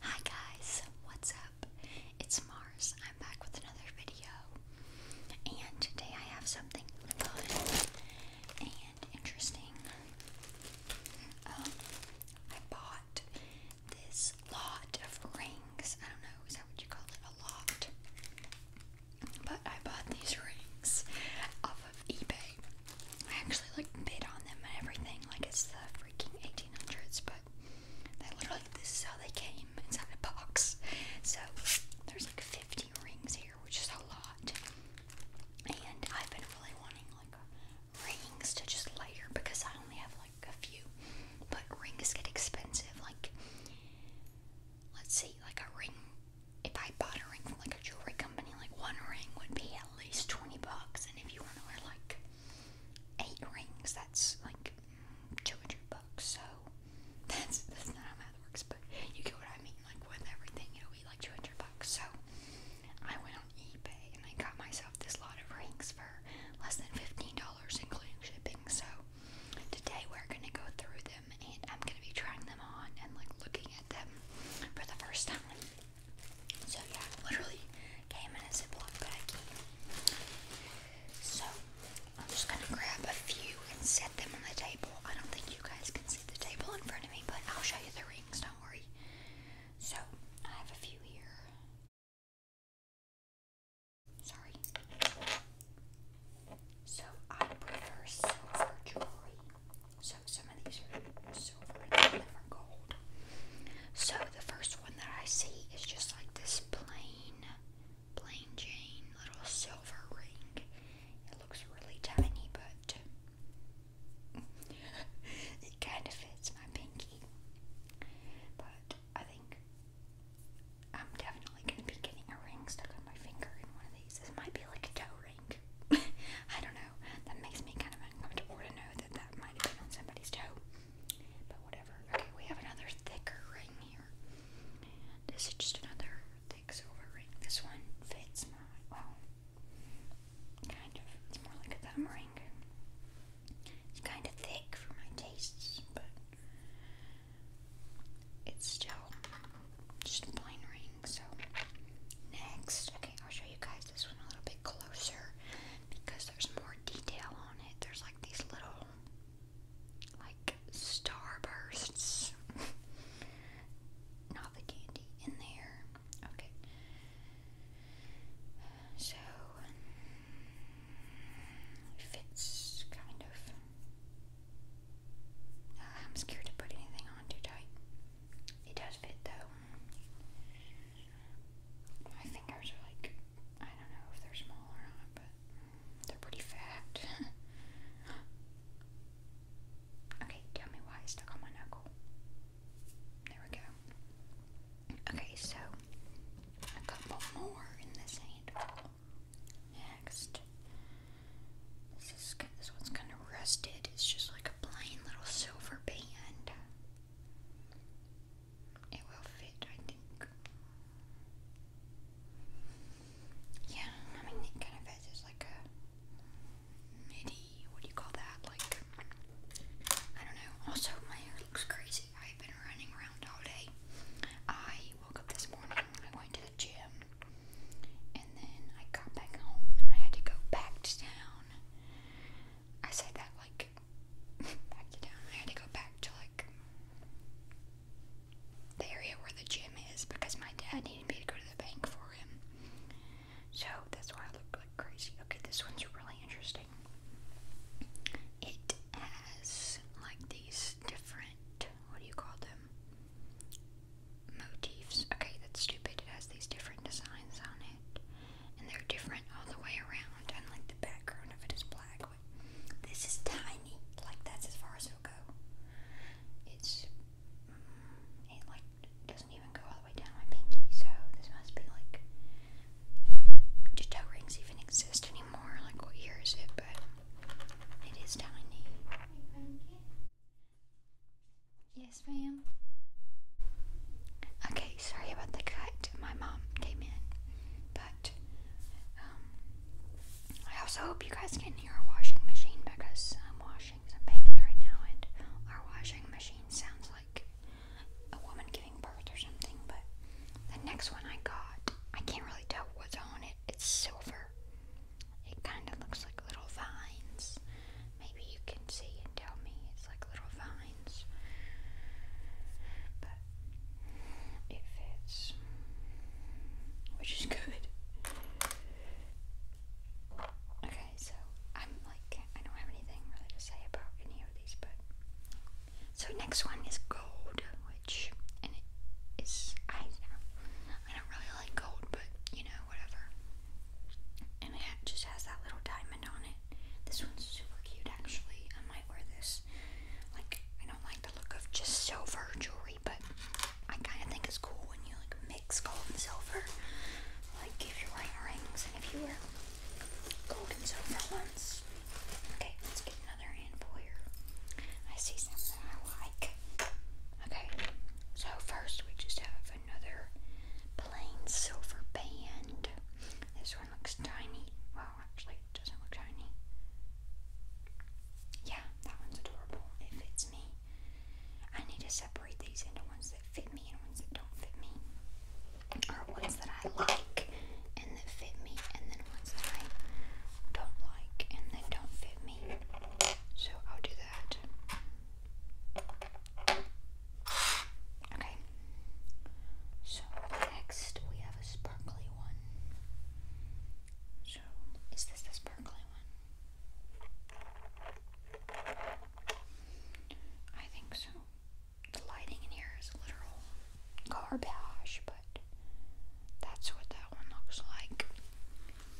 Hi guys, what's up? It's Mars. I'm back with another video. And today I have something fun and interesting. Um, I bought this lot of rings. I don't know, is that what you call it? A lot. But I bought these rings off of eBay. I actually like bid on them and everything, like it's the freaking 1800s, but they literally, this is how they came inside a box. So there's like 50 rings here, which is a lot. And I've been really wanting like rings to just layer because I only have like a few. But rings get expensive. Like, let's see, like a ring, if I bought a ring from like like a jewelry company, like one ring would be at least 20 bucks, and if you want to wear like eight rings, that's like 200 bucks. So that's that's not how math works, but you get what I mean. Like with everything, it'll be like 200 bucks. So I went on eBay and I got myself this lot of rings for less than $15, including shipping. So today we're gonna go through them and I'm gonna be trying them on and like looking at them for the first time. So yeah, literally came in a I keep. So I'm just gonna grab a few and set them on the table. I don't think you guys can see the table in front of me, but I'll show you the rings, don't worry. So I have a few here. Sorry. So I prefer silver jewelry. So some of these are silver and some are gold. So the first one that I see is just like this plain, plain Jane little silver ring. It looks really tiny, but it kind of fits my pinky. But I think I'm definitely gonna be getting a ring stuck on my finger in one of these. This might be like a toe ring. I don't know. That makes me kind of uncomfortable to know that that might have been on somebody's toe. But whatever. Okay, we have another thicker ring here. This is just another thick silver ring. This one fits my, well, kind of. It's more like a thumb ring. It's kind of thick for my tastes, but it's still just a plain ring. So next, okay, I'll show you guys this one a little bit closer because there's more detail on it. There's like these little like starbursts. Not the candy in there. Okay. So fits kind of. I'm scared to put anything on too tight. It does fit though. My fingers are like, I don't know if they're small or not, but they're pretty fat. okay, tell me why I stuck on my knuckle. There we go. Okay, so a couple more in this handful. Next, this is one's kind of rusted. It's just like a plain little silver band. It will fit, I think. Yeah, I mean, it kind of fits. It's like a midi. What do you call that? Like, I don't know. Also, my hair looks crazy. I've been running around all day. I woke up this morning. I went to the gym. And then I got back home and I had to go back to town. I said that like back to town. I had to go back to like the area where the gym is because my dad needed me to go to the bank for him. So that's why I look like crazy. Okay, this one's really interesting. It has like these different, what do you call them? motifs. Okay, that's stupid. It has these different designs on it, and they're different all the way around. And like the background of it is black. But this is tiny. Like that's as far as it goes. It's mm, it like doesn't even go all the way down my pinky. So this must be like. Do toe rings even exist anymore? Like, what year is it? But it is tiny. Yes, ma'am. Okay, sorry about the cut. My mom came in. But um, I also hope you guys can hear our washing machine because I'm washing some paint right now and our washing machine sounds like a woman giving birth or something. But the next one I got, I can't really tell what's on it. It's silver. It kind of looks like little vines. Maybe you can see and tell me it's like little vines. But it fits, which is good. Okay, so I'm like, I don't have anything really to say about any of these, but. So next one is gold, which and it is I don't really like gold, but you know know, whatever. And it just has that little diamond on it. This one's super cute, actually. I might wear this. Like, I don't like the look of just silver jewelry, but I kind of think it's cool when you like mix gold and silver. Like, if you're wearing rings, and if you wear gold and silver ones. Okay, let's get another handful here. I see some that I like. Okay, so first we just have another plain silver band. This one looks tiny. Well, actually, doesn't look tiny. Yeah, that one's adorable. It fits me. I need to separate these into ones that fit me and ones that don't fit me. Or ones that I like and that fit me, and then ones that I don't like and that don't fit me. So I'll do that. Okay. So next we have a sparkly one. So is this the sparkly one? I think so. The lighting in here is literal garbage, but that's what that one looks like.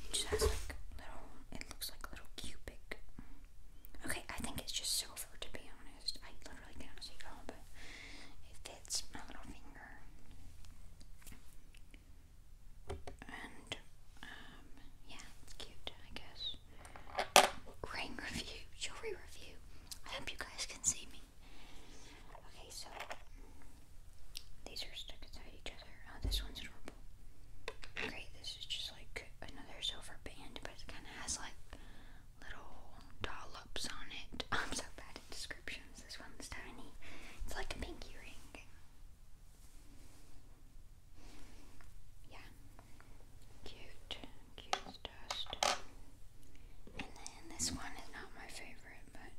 It just has like little, it looks like little cubic. Okay, I think it's just silver to be honest. I literally can't see all, but it fits my little finger. And, um, yeah, it's cute, I guess. Ring review, jewelry review. I hope you guys can see me. Okay, so these are stuck inside each other. Oh, this one's adorable. Okay, this is just like another silver band, but it kind of has like little dollops on it. I'm so bad at descriptions. This one's tiny. It's like a pinky ring. Yeah. Cute. Cute dust. And then this one is not my favorite, but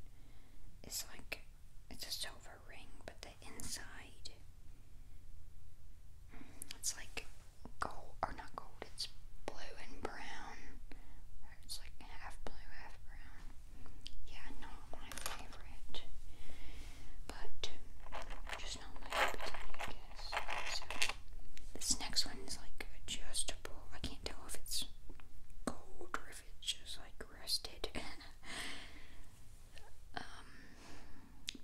it's like it's a silver ring, but the inside. Mm, it's like gold, or not gold, it's blue and brown. it's like half blue, half brown. Yeah, not my favorite. But, just not my appetite, I guess. this next one is like adjustable. I can't tell if it's gold or if it's just like roasted. Um,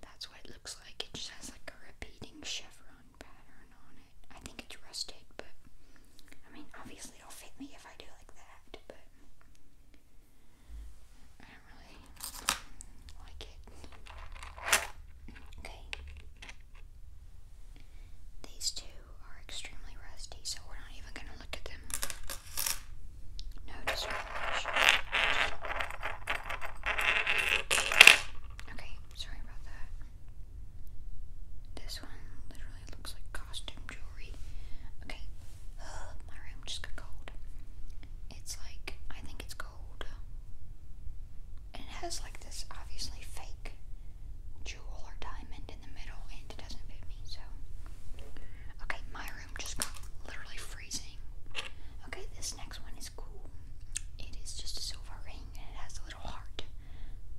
that's what it looks like. It just has like a repeating chevron pattern on it. I think it's rusted, but I mean, obviously it'll fit me if I do like that, but I don't really like it. Okay. These two are extremely rusty, so we're not even going to look at them. No discrimination. Okay, sorry about that. This one literally looks like costume jewelry. Okay, my room just got cold. It's like, I think it's gold. And it has like this obviously fake jewel or diamond in the middle and it doesn't fit me, so. Okay, my room just got literally freezing. Okay, this next one is cool. It is just a silver ring and it has a little heart.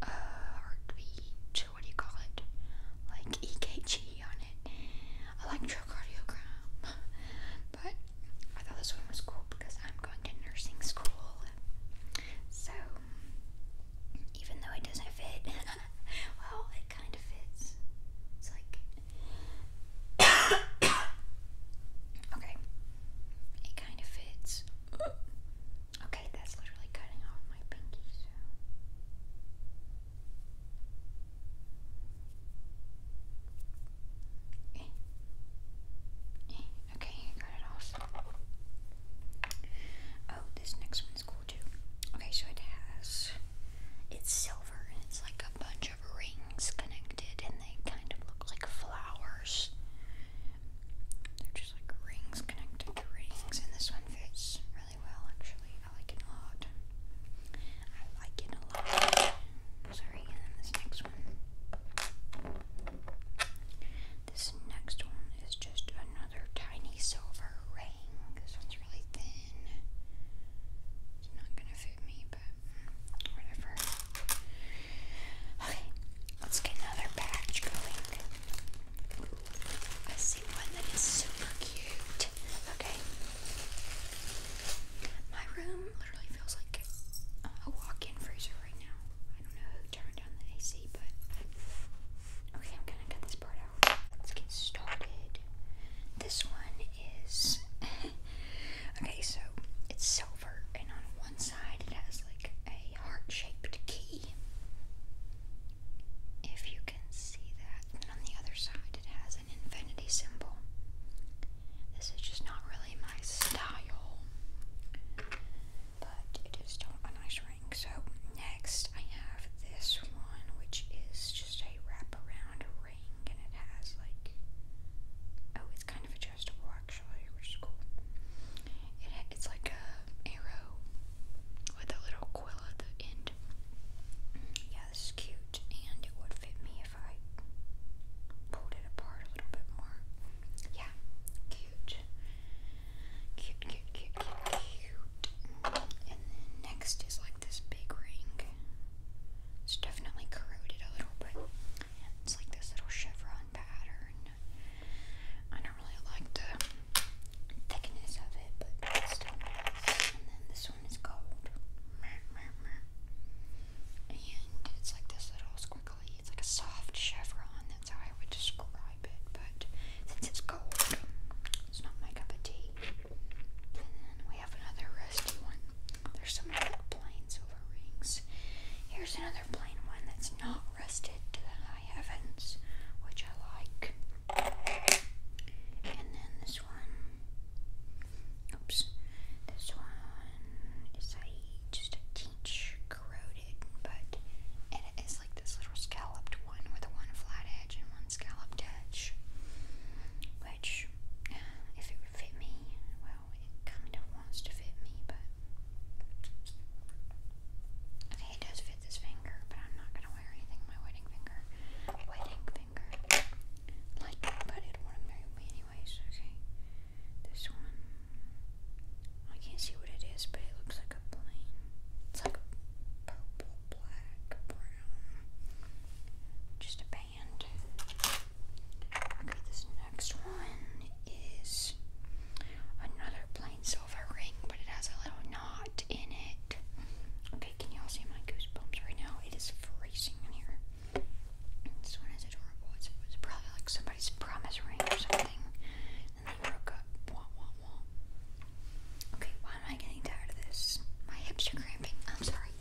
Uh, heartbeat, what do you call it? Like EKG on it. Electrocardiogram. but I thought this one was cool because I'm going to nursing school. So even though it doesn't fit. well, it kind of fits. It's like. okay. It kind of fits. Okay, that's literally cutting off my pinky, so. Eh, eh, okay, got it off. Oh, this next one's cool. Okay, so it has it's silver and it's like a bunch of rings connected and they kind of look like flowers. They're just like rings connected to rings and this one fits really well actually. I like it a lot. I like it a lot. Sorry, and then this next one. This next one is just another tiny silver ring. This one's really thin. It's not gonna fit me, but whatever. Okay, let's get another batch going. I see one that is super cute. Okay. My room literally feels like a walk-in freezer right now. I don't know who turned on the AC, but okay, I'm gonna cut this part out. Let's get started. This one is okay, so it's silver, and on one side it has like a heart shaped key. If you can see that, and on the other side it has an infinity symbol. This is just not really my style but it is still a nice ring. So next I have this one, which is just a wraparound ring, and it has like oh, it's kind of adjustable actually, which is cool. It it's like a arrow with a little quill at the end. Yeah, this is cute, and it would fit me if I pulled it apart a little bit more. Yeah, cute. Cute, cute, cute, cute, cute. And next is like this big ring. It's definitely corroded a little bit. It's like this little chevron pattern. I don't really like the thickness of it, but it's still nice. And then this one is gold. And it's like this little square it's like a soft chevron, that's how I would describe it, but since it's gold, it's not my cup of tea. then we have another rusty one. There's some plain silver rings. Here's another plain one that's not rusted to the high heavens, which I like. And then this one. Oops. This one is a just a teach corroded, but is like this little scalloped one with one flat edge and one scalloped edge. Which, if it would fit me, well, it kind of wants to fit me, but. it does fit this finger, but I'm not gonna wear anything my wedding finger. Wedding finger. Like, but it wouldn't marry me anyways, okay? This one. I can't see what it is, but it looks like a plane. It's like a purple, black, brown. Just a band. Okay, this next one is another plain silver ring, but it has a little knot in it. Okay, can y'all see my goosebumps right now? It is freezing in here. This one is adorable. It's, probably like somebody's promise ring or something. Okay, why am I getting tired of this? My hips are cramping. I'm sorry.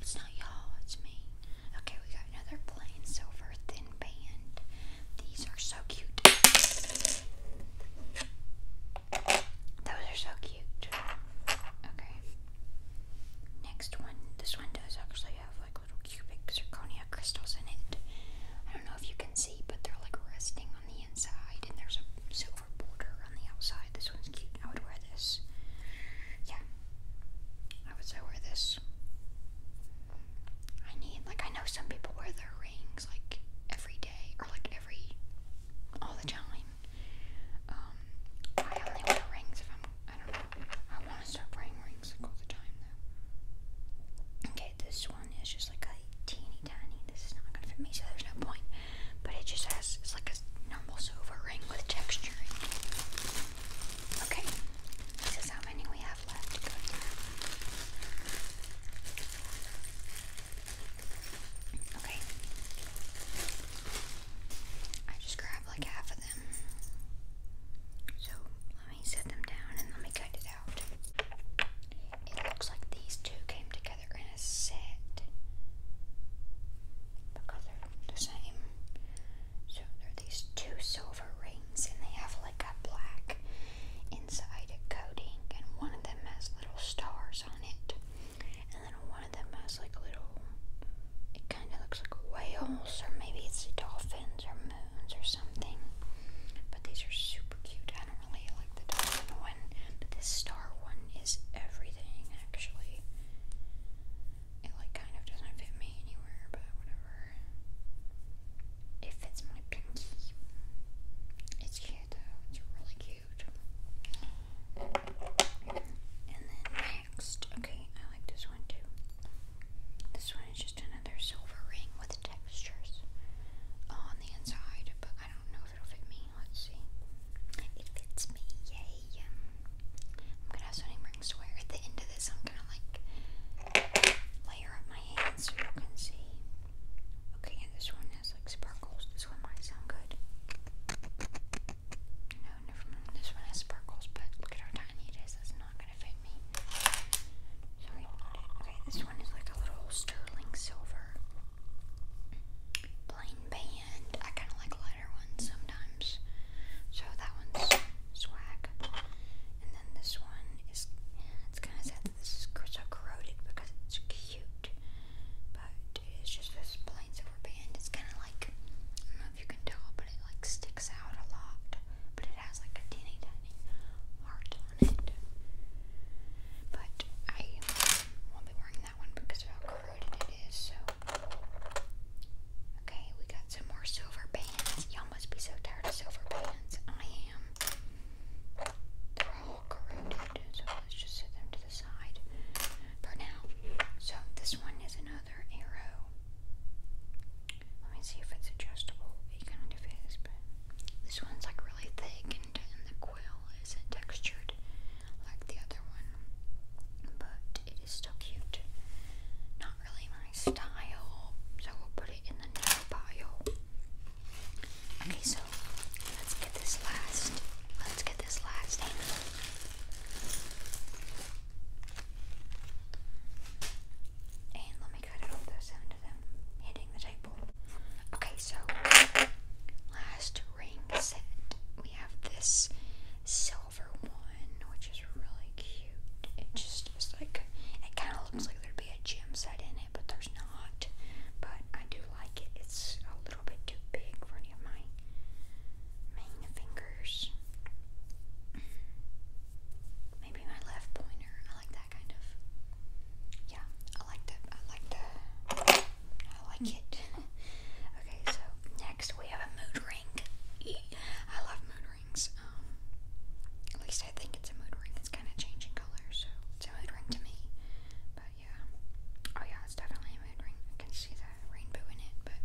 It's not y'all, it's me. Okay, we got another plain silver thin band. These are so cute. Those are so cute. Okay. Next one. This one does actually have like little cubic zirconia crystals in it. I don't know if you can see, but they're like resting on the inside, and there's a silver border on the outside. This one's cute. I would wear this. Yeah, I would say wear this. I need like I know some people wear their rings like every day or like every all the time. Um, I only wear rings if I'm I don't know. I want to start wearing Okay, this one is just like a teeny tiny. This is not gonna fit me, so there's no point. But it just has like a normal silver ring with texture. Okay, this is how many we have left to go Okay. I just grabbed like half of them. So let me set them down and let me cut it it looks like these two came together in a set because they're the same. So there are these two silver rings, and they have like a black inside a coating, and one of them has little stars on it, and then one of them has like little. It kind of looks like whales, or maybe it's a dolphin or moons or something. But these are super cute. I don't really like the diamond one, but this star one is everything actually. It like kind of doesn't fit me anywhere, but whatever. It fits my pinky. It's cute though. It's really cute. And then next, okay, I like this one too. This one is just another silver ring with textures on the inside, but I don't know if it'll fit me. Let's see. It fits me, yay. I'm gonna have so many rings to wear. At the end of this, I'm gonna like layer up my hands so you can see. Okay, and this one has like sparkles. This one might sound good. No, never mind. This one has sparkles, but look at how tiny it is. That's not gonna fit Sorry. Okay, this one is like a little sterling silver. Plain band. I kind of like lighter ones sometimes. So that one's swag. And then this one is, it's kind of sad this is so corroded because it's cute. But it's just this plain silver band. It's kind of like, you can tell, but it like sticks out a lot. But it has like a teeny tiny heart on it. But I won't be wearing that one because of how crowded it is. So okay, we got some more silver bands. Y'all must be so tired of silver bands. I am. They're all corroded, so let's just set them to the side for now. So this one is another arrow. Let me see if it's adjustable. It kind of is, but this one's like really thick, and, the quill isn't textured like the other one, but it is still cute. Not really my style, so we'll put it in the nail pile. Okay, so let's get this last. Let's get this last thing. And let me cut it those sound of them hitting the table. Okay, so last ring set. We have this silver one, which is really cute. It just is like, it kind of looks like there'd be a gem set in it, but there's not. But I do like it. It's a little bit too big for any of my main fingers. Maybe my left pointer. I like that kind of. Yeah, I like that. I like that. I like hmm. it. okay, so next we have a mood ring. I love mood rings. Um, at least I think it's a mood ring. It's kind of changing color, so it's a mood ring to me. But yeah. Oh yeah, it's definitely a mood ring. I can see the rainbow in it, but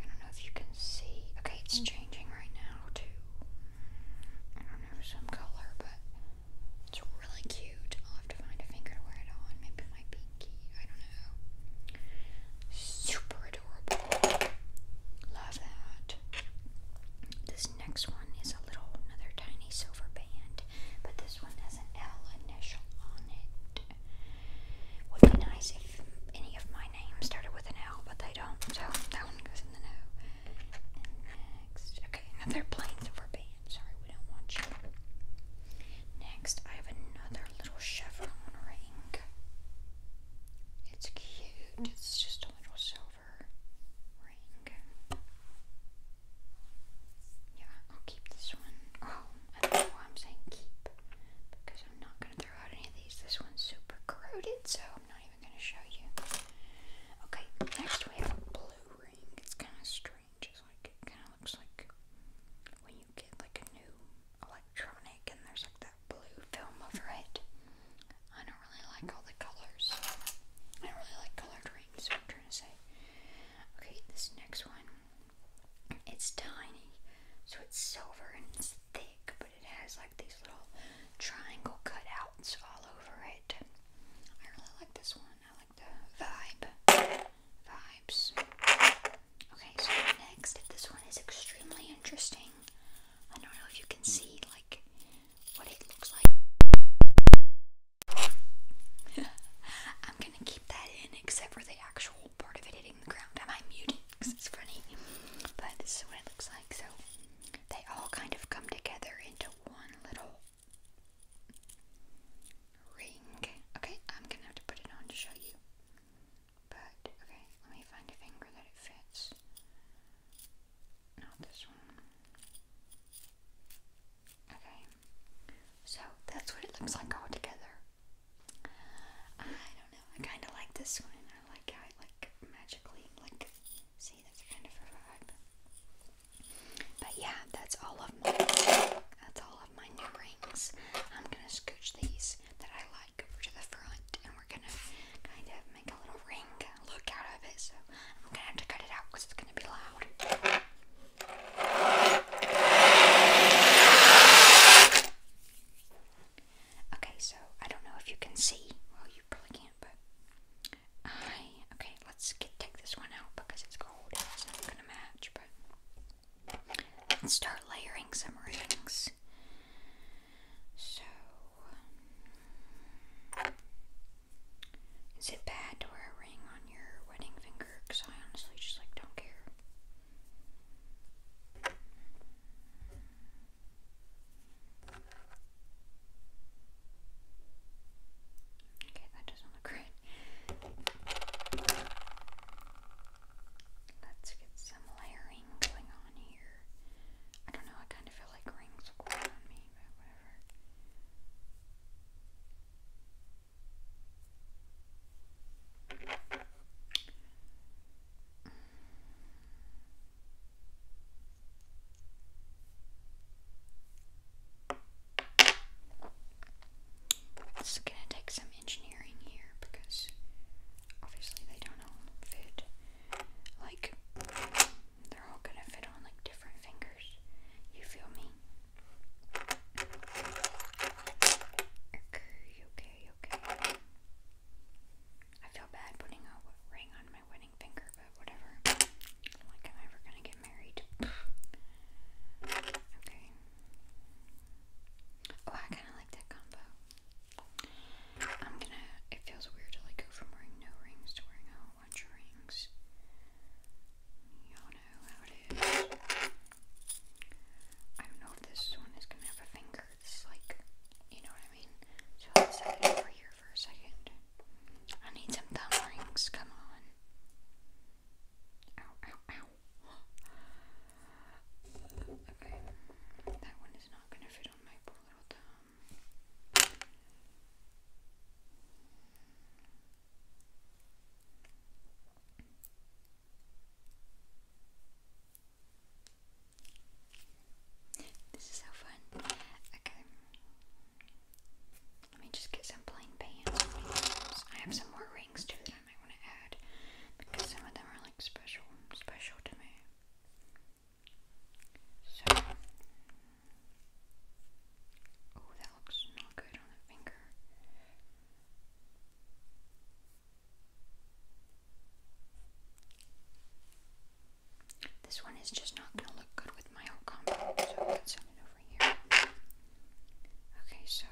I don't know if you can can see. Okay, it's mm. changing right now too. I don't know some color, but it's really cute. I'll have to find a finger to wear it on. Maybe my pinky. I don't know. Super adorable. Love that. This next one is a little another tiny silver band, but this one has an L initial on it. Would be nice if any of my names started with an L, but they don't, so that one goes in the no. next, okay, another plainthrower band. Sorry, we don't want you. Next, I have another little chevron ring. It's cute. It's just a little silver ring. Yeah, I'll keep this one. Oh, I know I'm saying keep because I'm not throw out any of these. This one's super corroded, so I'm not even gonna show you. Okay, next we have a blue ring. It's kind of strange. It's like it kind of looks like when you get like a new electronic and there's like that blue film over it. I don't really like all the colors. I don't really like colored rings. Is I'm trying to say. Okay, this next one it's tiny, so it's silver and it's thick, but it has like these little triangle cutouts all over it. I really like this one. I like the vibe. Vibes. Okay, so next, this one is extremely interesting. I don't know if you can see like what it looks like. I'm gonna keep that in except for the actual part of it. It ground. I might mute it because it's funny. But this is what it looks like. So they all kind of come together into one little ring. Okay, I'm gonna have to put it on to show you. But okay, let me find a finger that it fits. Not this one. Okay. So that's what it looks like all together. I don't know. I kind of like this one. I like how it like magically like see that's kind of a But yeah, that's all of my that's all of my new rings. I'm gonna scooch these that I like over to the front, and we're gonna kind of make a little ring look out of it. So I'm gonna have to cut it out because it's gonna be loud. Okay, so I don't know if you can see. Well, you probably can't, but I. Okay, let's get, take this one out because it's cold and it's not going to match, but let's start layering some rings. So. Is it bad to wear a ring on your wedding finger? Because I honestly just like don't care. Okay, that doesn't look right. Let's get some layering going on here. I don't know, I kind of feel like rings look weird on me, but whatever. It's gonna take some engineering here because obviously they don't all fit like they're all gonna fit on like different fingers. You feel me? Okay, okay, okay. I feel bad putting a ring on my wedding finger, but whatever. Like i ever gonna get married. Okay. Oh, I kind of like that combo. I'm gonna. It feels weird to like go from wearing no rings to wearing a whole bunch of rings. Y'all know how it is. I don't know if this one is gonna have a finger. It's like, you know what I mean? So let's set it over here for a second. I need some thumb rings, come on. Ow, ow, ow. Okay, that one is not gonna fit on my little thumb. This is so fun. Okay. Let me just get some plain bands. I have some more rings too that I might want to add because some of them are like special, special to me. So, oh, that looks not good on the finger. This one is just not going to look good with my old combo, so let's send it over here. Okay, so.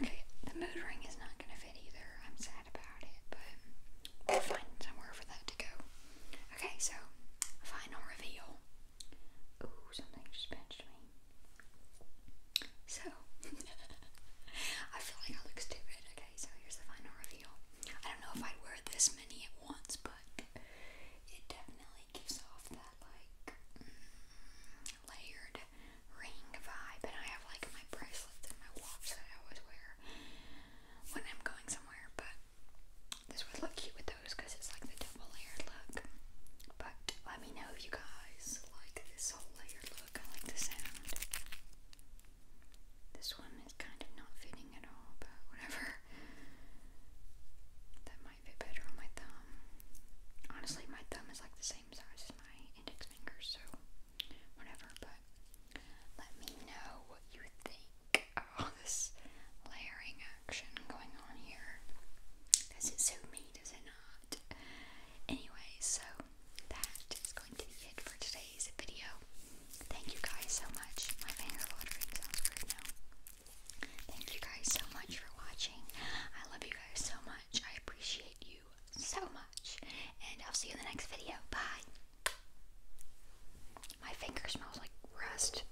okay, the mood ring is not going to fit either. I'm sad about it, but we'll find somewhere for that to go. Okay, so, final reveal. Ooh, something just pinched me. So, I feel like I look stupid. Okay, so here's the final reveal. I don't know if I'd wear this many at once, but it definitely gives off that like mm, layered ring vibe. And I have like my bracelets and my watch that I always wear when I'm going somewhere, but this would look cute with those because it's like the double layered look. But let me know if you guys like this whole layered look. I like the sound. This one is kind of not fitting at all, but whatever. That might fit better on my thumb. Honestly, my thumb is like the same size as my index finger, so whatever. But let me know what you think. Oh, this layering action going on here. Does it so me? Does it not? Anyway, so that is going to be it for today's video. Thank you guys so much. My finger watering sounds weird now. Thank you guys so much for watching. I love you guys so much. I appreciate you so much. And I'll see you in the next video. Bye. My finger smells like rust.